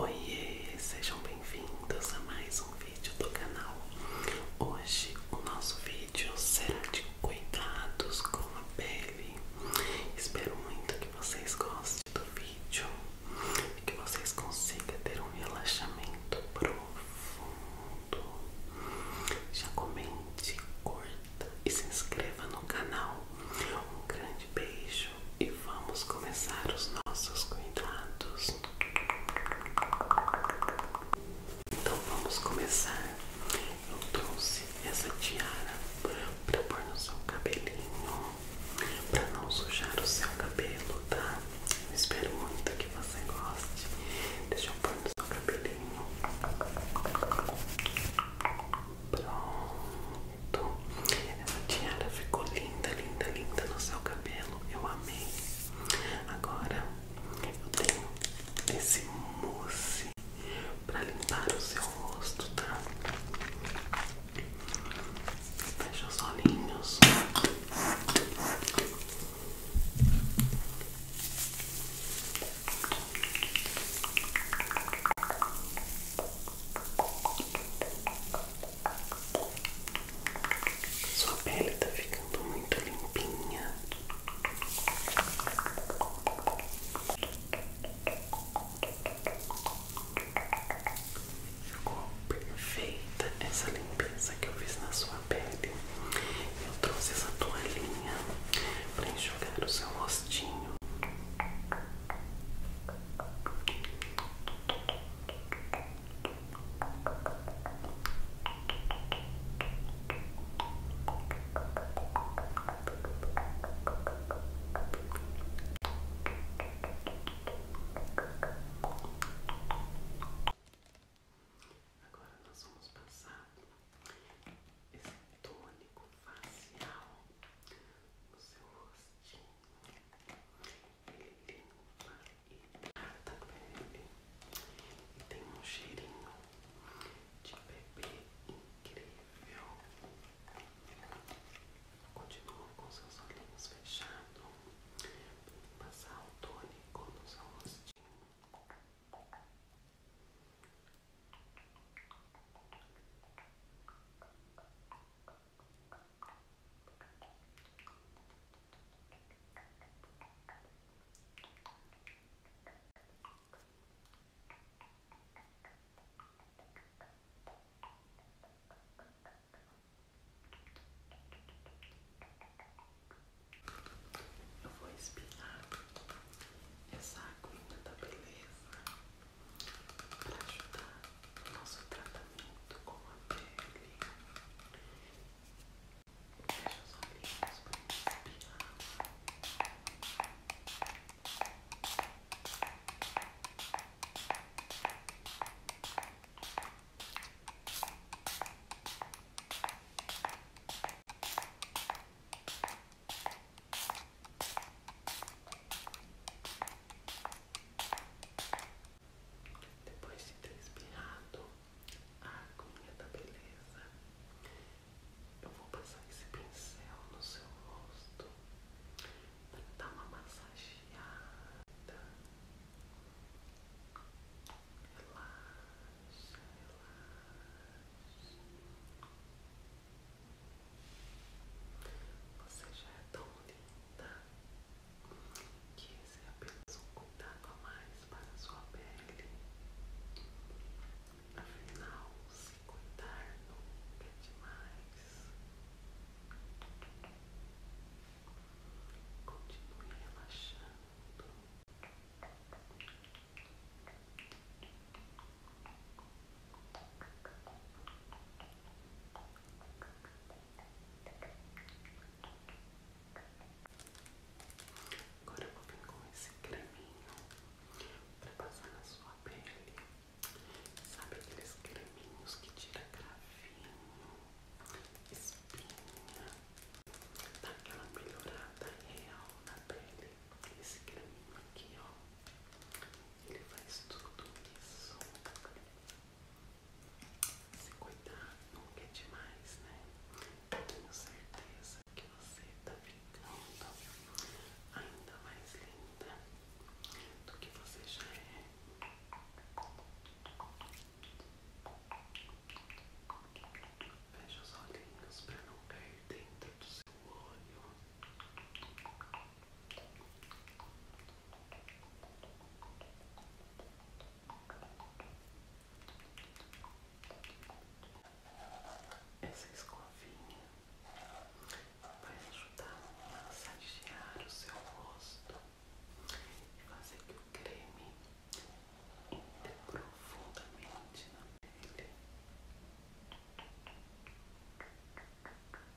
Oiê, sejam bem-vindos a mais um vídeo do canal. Hoje o nosso vídeo será de cuidados com a pele. Espero muito que vocês gostem do vídeo que vocês consigam ter um relaxamento profundo. Já comente, curta e se inscreva no canal. Um grande beijo e vamos começar os nossos cuidados. Então vamos começar. Eu trouxe essa tiara para pôr no seu cabelinho para não sujar o seu cabelo, tá? Eu espero muito que você goste. Deixa eu pôr no seu cabelinho. Pronto. A tiara ficou linda, linda, linda no seu cabelo. Eu amei. Agora eu tenho esse mousse para limpar o seu rosto, tá? Fecha os olhinhos. Sua pele tá ficando muito limpinha. Ficou perfeita essa limpeza que eu fiz na sua pele. Eu trouxe essa toalhinha para enxugar o seu rostinho. Agora nós vamos passar esse tônico facial no seu rostinho. Ele limpa e trata a E tem um cheirinho de bebê incrível. Continua com seus olhinhos fechados. Passar o tônico no seu rostinho. Eu vou espirrar essa aguinha da beleza para ajudar nosso tratamento com a pele. Fecha os olhinhos para depois de ter expirado, a aguinha da beleza. Eu vou passar esse pincel no seu rosto para dar uma massageada. Relaxa, relaxa. Você já é tão linda que esse é apenas um cuidado a mais para sua pele. Afinal, se cuidar nunca é demais. Continue relaxando. Agora eu vou vir com esse creminho pra passar na sua pele. Sabe aqueles creminhos que tira cravinho, espinha? Dá aquela melhorada real na pele. Esse creminho aqui, ó. Ele faz tudo isso. Se cuidar nunca é demais, né? Eu tenho certeza que você tá ficando ainda mais linda do que você já é. Veja os olhinhos para não cair dentro do seu olho. Relaxa essa escovinha vai ajudar a massagear o seu rosto e fazer que o creme entre profundamente na pele.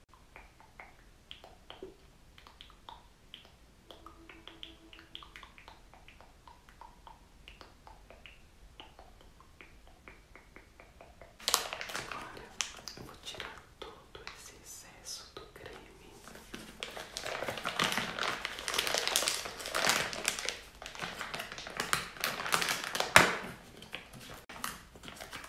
Agora eu vou tirar todo esse excesso do creme.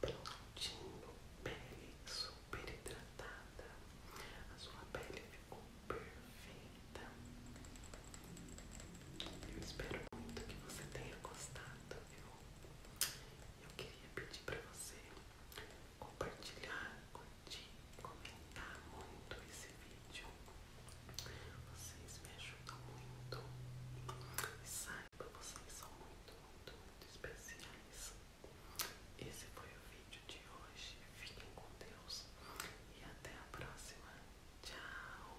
Prontinho, pele super hidratada, a sua pele ficou perfeita. Eu espero muito que você tenha gostado, viu? eu queria pedir para você compartilhar, curtir, comentar muito esse vídeo. Vocês me ajudam muito. E saiba, vocês são muito, muito, muito especiais. Esse foi o vídeo de hoje. Fiquem com Deus e até a próxima. Tchau!